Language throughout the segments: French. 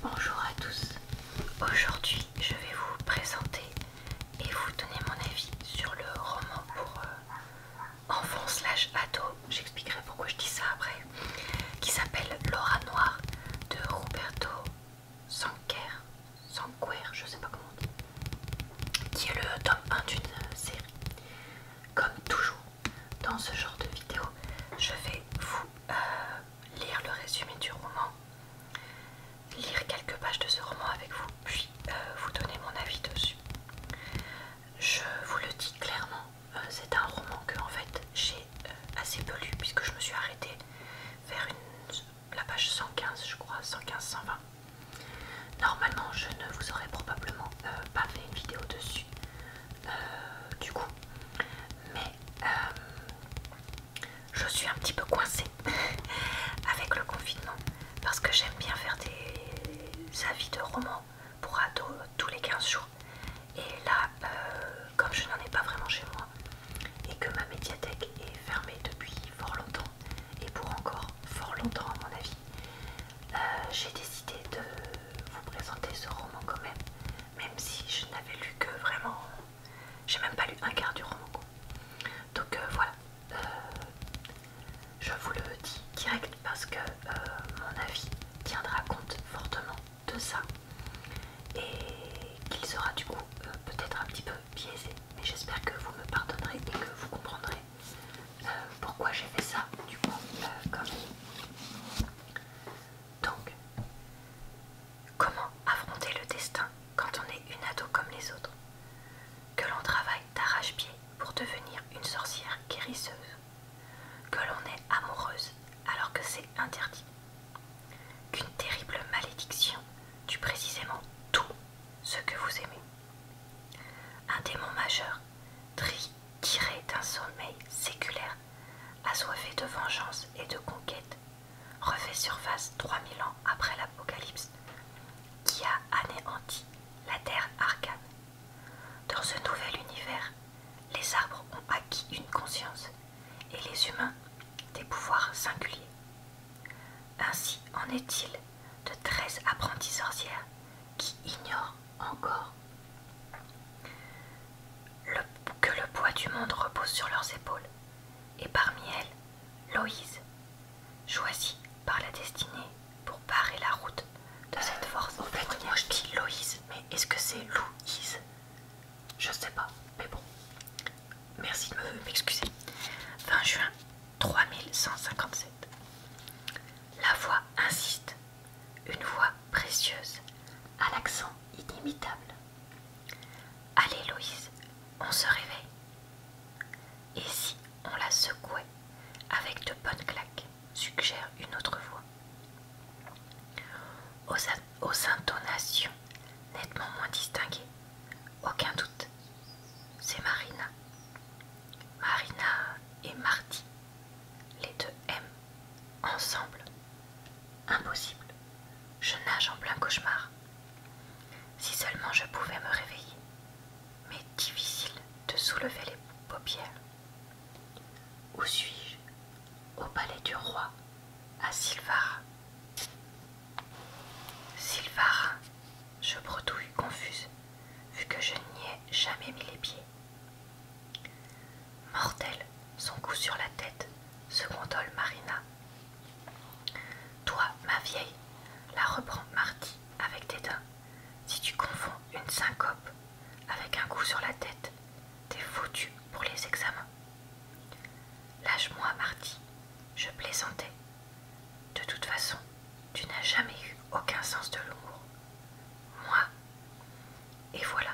Bonjour à tous, aujourd'hui je vais vous présenter et vous donner mon avis sur le roman pour euh, enfants slash ado, j'expliquerai pourquoi je dis ça après, qui s'appelle Laura Noire de Roberto Sanquer, Sanquer, je sais pas comment on dit, qui est le tome 1 d'une série. Comme toujours dans ce genre de vidéo, je vais vous euh, lire le résumé du roman, lire quelques pages de ce roman avec vous, puis euh, vous donner mon avis dessus. Je vous le dis clairement, euh, c'est un roman que en fait j'ai euh, assez peu lu puisque je me suis arrêtée vers la page 115 je crois, 115-120. Normalement je ne vous aurais probablement pas fait une vidéo dessus. du coup, mais euh, je suis un petit peu coincée avec le confinement parce que j'aime bien faire des avis de romans pour ados tous les 15 jours et là euh, comme je n'en ai pas vraiment chez moi et que ma médiathèque est fermée depuis fort longtemps et pour encore fort longtemps à mon avis euh, j'ai décidé de vous présenter ce roman quand même même si je n'avais lu que vraiment, j'ai même pas lu un quart du roman. Donc euh, voilà, euh, je vous le dis direct parce que euh, mon avis tiendra compte fortement de ça et qu'il sera du coup peut-être un petit peu biaisé, mais j'espère que vous me pardonnerez et que vous comprendrez pourquoi j'ai fait ça du coup donc, comment affronter le destin quand on est une ado comme les autres Que l'on travaille d'arrache-pied pour devenir une sorcière guérisseuse Que l'on est amoureuse alors que c'est interdit Qu'une terrible malédiction tue précisément tout ce que vous aimez un démon majeur trie tiré d'un sommeil séculaire, assoiffé de vengeance et de conquête, refait surface 3000 ans après l'Apocalypse, qui a anéanti la terre arcane. Dans ce nouvel univers, les arbres ont acquis une conscience et les humains des pouvoirs singuliers. Ainsi en est-il de treize apprentis sorcières qui ignorent encore, que le poids du monde repose sur leurs épaules, et parmi elles, Loïse, choisie par la destinée pour barrer la route de euh, cette force. En fait, moi je dis Loïse, mais est-ce que c'est Louise Je sais pas, mais bon. Merci de me m'excuser. 20 juin 3157. La voix insiste une voix précieuse, à l'accent inimitable. Allez, Louise, on se réveille. Et si on la secouait avec de bonnes claques, suggère une autre voix. Aux, intonations nettement moins distinguées, aucun doute, c'est Marina. Marina et Marty, les deux M Ensemble Impossible. Je nage en plein cauchemar. Si seulement je pouvais me réveiller. Mais difficile de soulever les paupières. Où suis-je Au palais du roi, à Silvara. Silvara, je bredouille confuse, vu que je n'y ai jamais mis les pieds. Mortel, son coup sur la tête, se condole Marina. Toi, ma vieille, la reprend Marty avec tes dents. Si tu confonds une syncope avec un coup sur la tête, t'es foutue pour les examens. Lâche-moi, Marty, je plaisantais. De toute façon, tu n'as jamais eu aucun sens de l'humour. Moi. Et voilà,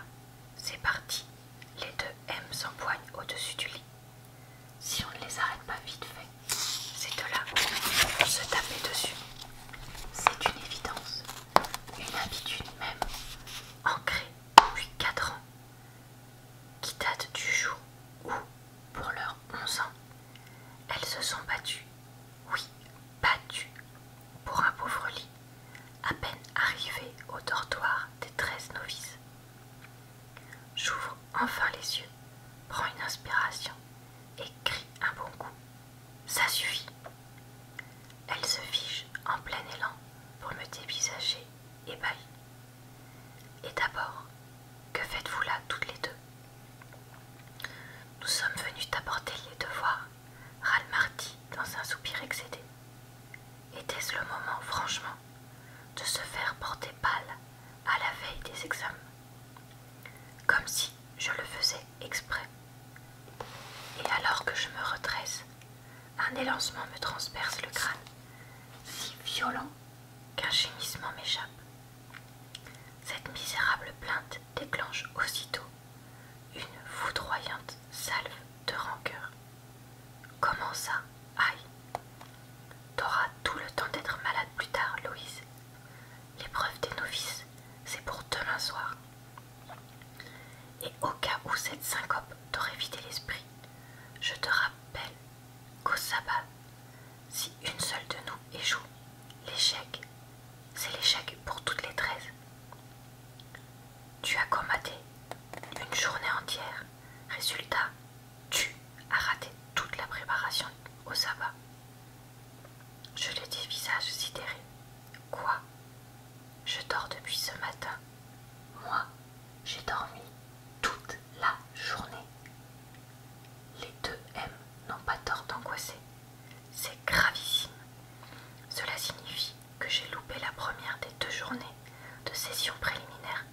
c'est parti. Les deux M s'empoignent au-dessus du lit. Si on ne les arrête pas vite fait, ces deux-là vont se taper dessus. C'est une évidence, une habitude même, ancrée depuis 4 ans, qui date du jour où, pour leurs 11 ans, elles se sont battues, oui, battu pour un pauvre lit, à peine arrivé au dortoir des treize novices. J'ouvre enfin les yeux, prends une inspiration et crie un bon coup. Ça suffit. Elle se fige en plein élan pour me dévisager et ébahie. « Et d'abord, que faites-vous là toutes les deux Nous sommes venus t'apporter les devoirs râle dans un soupir excédé. Était-ce le moment, franchement, de se faire porter pâle à la veille des examens Comme si je le faisais exprès. Et alors que je me redresse, un élancement me transperce le crâne, si violent qu'un gémissement m'échappe. Cette misérable plainte déclenche aussitôt une foudroyante salve de rancœur. Comment ça Aïe T'auras tout le temps d'être malade plus tard, Louise. L'épreuve des novices, c'est pour demain soir. Et au cas où cette syncope t'aurait vidé l'esprit, je te rappelle qu'au sabbat, si une seule de nous échoue, L'échec, c'est l'échec pour toutes les treize. Tu as combatté une journée entière. Résultat, tu as raté toute la préparation au sabbat. Je l'ai dis visage sidéré. Quoi Je dors depuis ce matin. Moi, j'ai dormi toute la journée. Les deux M n'ont pas tort d'angoisser. C'est gravissime. Cela signifie que j'ai loupé la première des deux journées de session préliminaire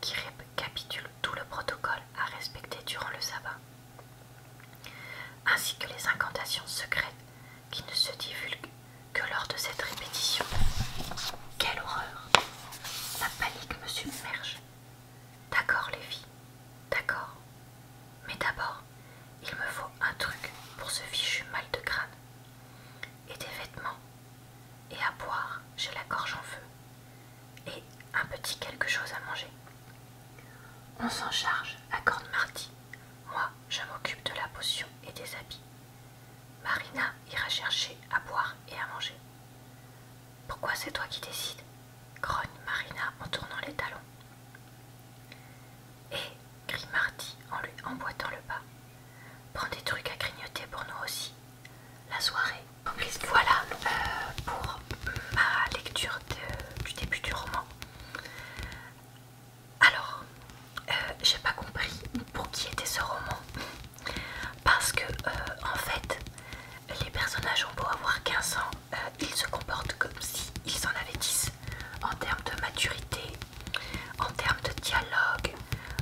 qui récapitule tout le protocole à respecter durant le sabbat, ainsi que les incantations secrètes qui ne se divulguent que lors de cette répétition. Quelle horreur La panique me submerge. D'accord les d'accord. Mais d'abord, il me faut un truc pour ce fichu mal de crâne. Et des vêtements. Et à boire, j'ai la gorge en feu. Et un petit quelque chose à manger. On s'en charge, accorde Marty. Moi, je m'occupe de la potion et des habits. Marina ira chercher à boire et à manger. Pourquoi c'est toi qui décides grogne Marina en tournant les talons. Et, crie Marty en lui emboîtant le pas, prends des trucs à grignoter pour nous aussi. La soirée. Voilà euh, pour ma lecture du début du roman. Alors, euh, j'ai pas compris pour qui était ce roman. Parce que, euh, en fait, les personnages ont beau avoir 15 ans, il euh, ils se comportent comme s'ils en avaient 10 en termes de maturité, en termes de dialogue,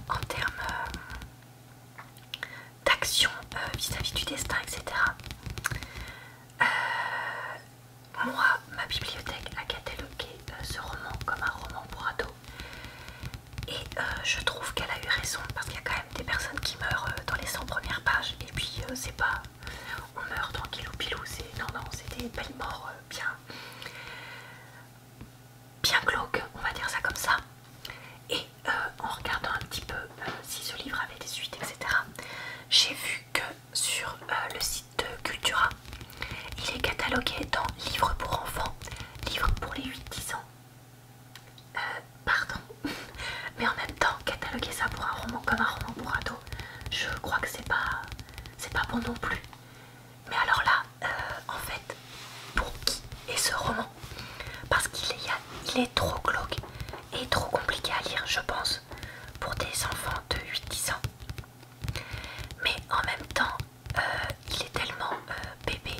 en termes euh, d'action euh, vis-à-vis du destin, etc. moi, ma bibliothèque a catalogué ce roman comme un roman pour ados. Et je trouve qu'elle a eu raison parce qu'il y a quand même des personnes qui meurent dans les 100 premières pages et puis euh, c'est pas on meurt au pilou, c'est non non c'était une mort bien bien on va dire ça comme ça. Et euh, en regardant un petit peu euh, si ce livre avait des suites, etc., j'ai vu que sur le site de Cultura, il est catalogué dans livres pour enfants, livres pour les 8-10 ans, euh, pardon, mais en même temps, cataloguer ça pour un roman comme un roman pour ado, je crois que c'est pas, bon non plus. Mais alors là, euh, en fait, pour qui est ce roman Parce qu'il est, trop glauque et trop compliqué à lire, je pense, pour des enfants de 8-10 ans. Mais en même temps, euh, il est tellement bébé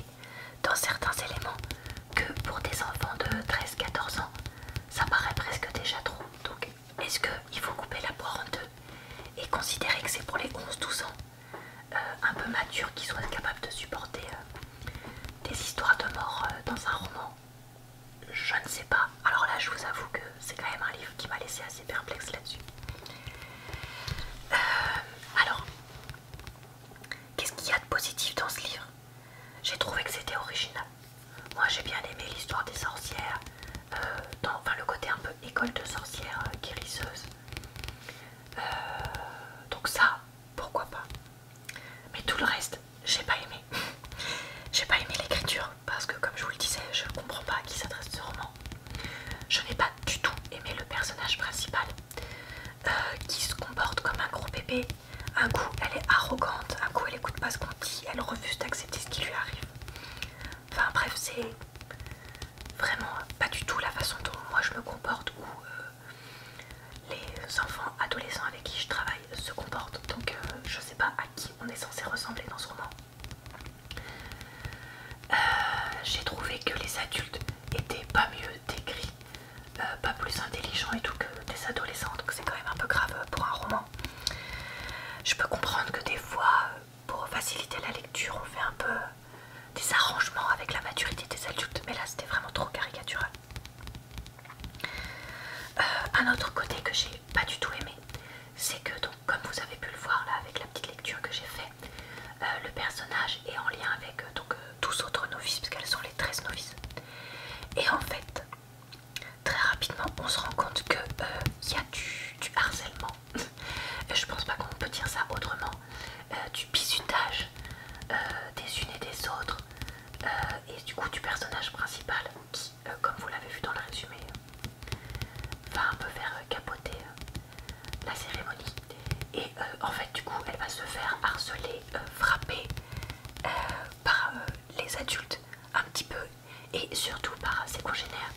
dans certains éléments que pour des enfants de 13-14 ans, ça paraît presque déjà trop. Donc, est-ce qu'il faut couper la poire en deux et considérer que c'est pour les 11-12 ans euh, un peu matures qui soient capables de supporter euh, des histoires de mort euh, dans un roman Je ne sais pas. Alors là, je vous avoue que c'est quand même un livre qui m'a laissé assez perplexe là-dessus. alors, qu'est-ce qu'il y a de positif dans ce livre j'ai trouvé que c'était original. Moi j'ai bien aimé l'histoire des sorcières, euh, enfin le côté un peu école de sorcières euh, guérisseuses euh, donc ça, pourquoi pas. Mais tout le reste, j'ai pas aimé. j'ai pas aimé l'écriture parce que comme je vous le disais, je ne comprends pas à qui s'adresse ce roman. Je n'ai pas du tout aimé le personnage principal qui se comporte comme un gros bébé un coup, elle est arrogante, un coup, elle écoute pas ce qu'on dit, elle refuse d'accepter ce qui lui arrive. Enfin bref, c'est vraiment pas du tout la façon dont moi je me comporte ou euh, les enfants adolescents avec qui je travaille se comportent. Donc je euh, je sais pas à qui on est censé ressembler dans ce roman. Euh, j'ai trouvé que les adultes était pas mieux décrit, euh, pas plus intelligent et tout que des adolescents, donc c'est quand même un peu grave pour un roman. Je peux comprendre que des fois, pour faciliter la lecture, on fait un peu des arrangements avec la maturité des adultes, mais là c'était vraiment trop caricatural. Euh, un autre côté que j'ai pas du tout aimé, c'est que donc comme vous avez pu le voir là avec la petite lecture que j'ai faite, euh, le personnage est en lien avec donc tous autres novices, puisqu'elles sont les 13 novices. Et en fait, très rapidement, on se rend compte qu'il euh, y a du, harcèlement. Je pense pas qu'on peut dire ça autrement. Euh, du bisutage euh, des unes et des autres. et du coup du personnage principal qui, comme vous l'avez vu dans le résumé, va un peu faire capoter la cérémonie. Et euh, en fait, du coup, elle va se faire harceler, euh, frapper euh, par les adultes un petit peu et surtout par ses congénères.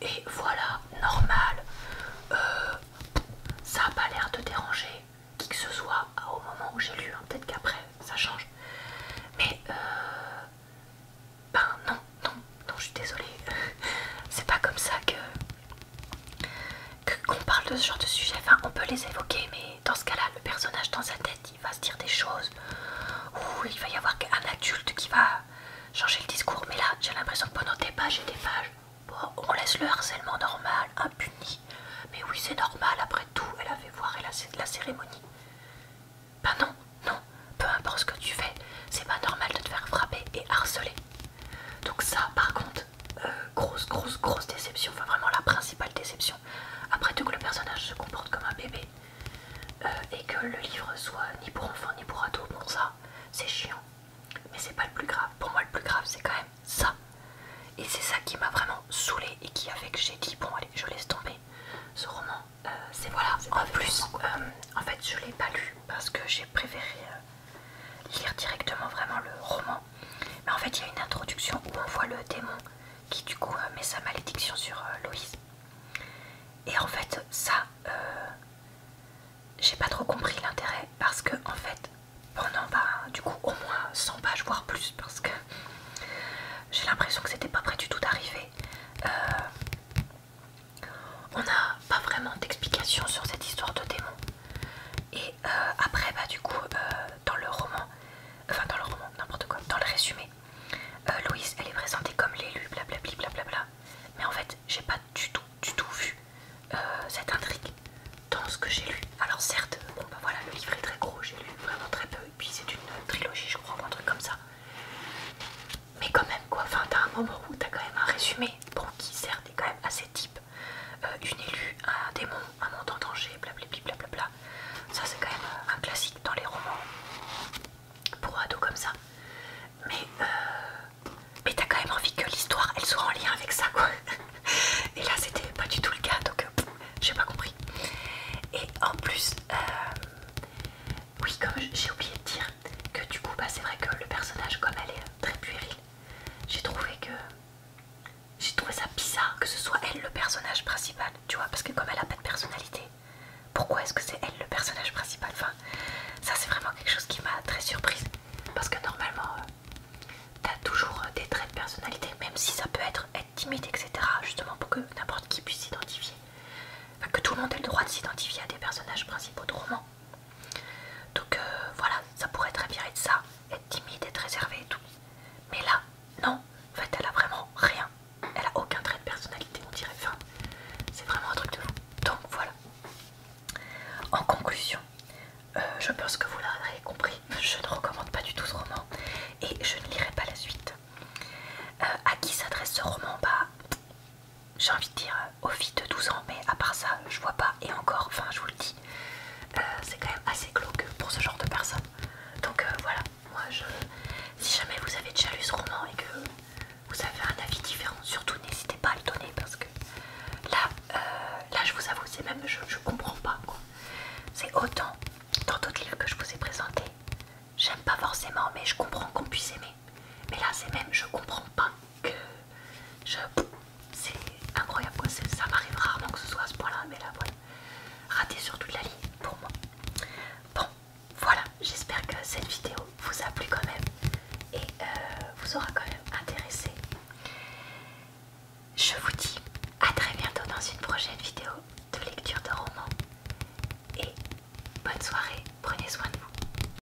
Et voilà, normal. ça n'a pas l'air de déranger qui que ce soit au moment où j'ai lu. Hein, peut-être qu'après, ça change. Mais ben non, non, non, je suis désolée. C'est pas comme ça que qu'on parle de ce genre de sujet, enfin on peut les évoquer, mais dans ce cas-là, le personnage dans sa tête, il va se dire des choses, ou il va y avoir un adulte qui va changer le discours, mais là, j'ai l'impression que pendant des pages et des pages, on laisse le harcèlement normal, impuni, mais oui, c'est normal, après tout, elle a fait voir la cérémonie. Ben non, non, peu importe ce que tu fais, c'est pas normal de te faire frapper et harceler. Donc ça, par contre, euh, grosse, grosse, grosse, déception. Enfin, vraiment la principale déception. Après tout que le personnage se comporte comme un bébé euh, et que le livre soit ni pour enfants ni pour ados, pour ça, c'est chiant. Mais c'est pas le plus grave. Pour moi, le plus grave, c'est quand même ça. Et c'est ça qui m'a vraiment saoulée et qui a j'ai dit bon allez, je laisse tomber ce roman. Euh, c'est voilà. En plus, en fait, je l'ai pas lu parce que j'ai préféré lire directement vraiment le roman. Mais en fait, il y a une introduction où on voit le démon qui du coup euh, met sa malédiction sur euh, Louise Et en fait, ça, euh, j'ai pas trop compris l'intérêt parce que en fait, pendant va bah, du coup au moins 100 pages voire plus parce que j'ai l'impression que c'était pas près du tout d'arriver. on a pas vraiment d'explication sur cette histoire de démon. Et euh, après, bah, du coup, euh, dans le roman, enfin dans le roman, n'importe quoi, dans le résumé, euh, Louise, elle est présentée comme l'élu, bla blablabla. Mais en fait, j'ai pas du tout, du tout vu cette intrigue dans ce que j'ai lu. Alors certes, bon bah voilà, le livre est très gros, j'ai lu vraiment très peu, et puis c'est une trilogie, je crois, un truc comme ça. Mais quand même, quoi, enfin, t'as un moment où t'as quand même un résumé, bon, qui certes quand même assez type euh, une élue, un démon, un monde en danger, blablabla. Ça, c'est quand même euh, un classique dans les romans pour ados comme ça. Mais, euh, mais t'as quand même envie que l'histoire elle soit en lien avec ça, quoi. Et là, c'était pas du tout le cas, donc j'ai pas compris. Et en plus, oui, comme j'ai oublié de dire, que du coup bah, c'est vrai que le personnage comme elle est très puéril j'ai trouvé que j'ai trouvé ça bizarre que ce soit elle le personnage principal tu vois parce que comme elle a pas de personnalité pourquoi est-ce que c'est elle le personnage principal enfin ça c'est vraiment quelque chose qui m'a très surprise parce que normalement euh, t'as toujours euh, des traits de personnalité même si ça peut être être timide etc justement pour que n'importe qui puisse s'identifier Enfin, que tout le monde ait le droit de s'identifier à des personnages principaux de romans. Donc euh, voilà, ça pourrait très bien être ça, être timide, être réservé et tout. Mais là, non, en fait elle a vraiment rien. Elle a aucun trait de personnalité, on dirait. Enfin, c'est vraiment un truc de fou Donc voilà. En conclusion, euh, je pense que vous l'aurez compris, je ne recommande pas du tout ce roman et je ne lirai pas la suite. A euh, à qui s'adresse ce roman Bah, j'ai envie de dire euh, au fil de 12 ans, mais à part ça, je vois pas, et encore, enfin, je vous le dis, euh, c'est quand même assez glauque pour ce genre de personne. Donc euh, voilà, moi je. Si jamais vous avez déjà lu ce roman et que vous avez un avis différent, surtout n'hésitez pas à le donner parce que là, là je vous avoue, c'est même. Je, je comprends pas C'est autant dans d'autres livres que je vous ai présentés. J'aime pas forcément, mais je comprends qu'on puisse aimer. Mais là, c'est même, je comprends pas que je. C'est incroyable quoi, ça m'arrive rarement que ce soit à ce point-là, mais là, voilà. Raté sur toute la ligne pour moi. Bon, voilà, j'espère que cette vidéo vous a plu quand même et euh, vous aura quand même intéressé. Je vous dis à très bientôt dans une prochaine vidéo de lecture de romans. Et bonne soirée, prenez soin de vous.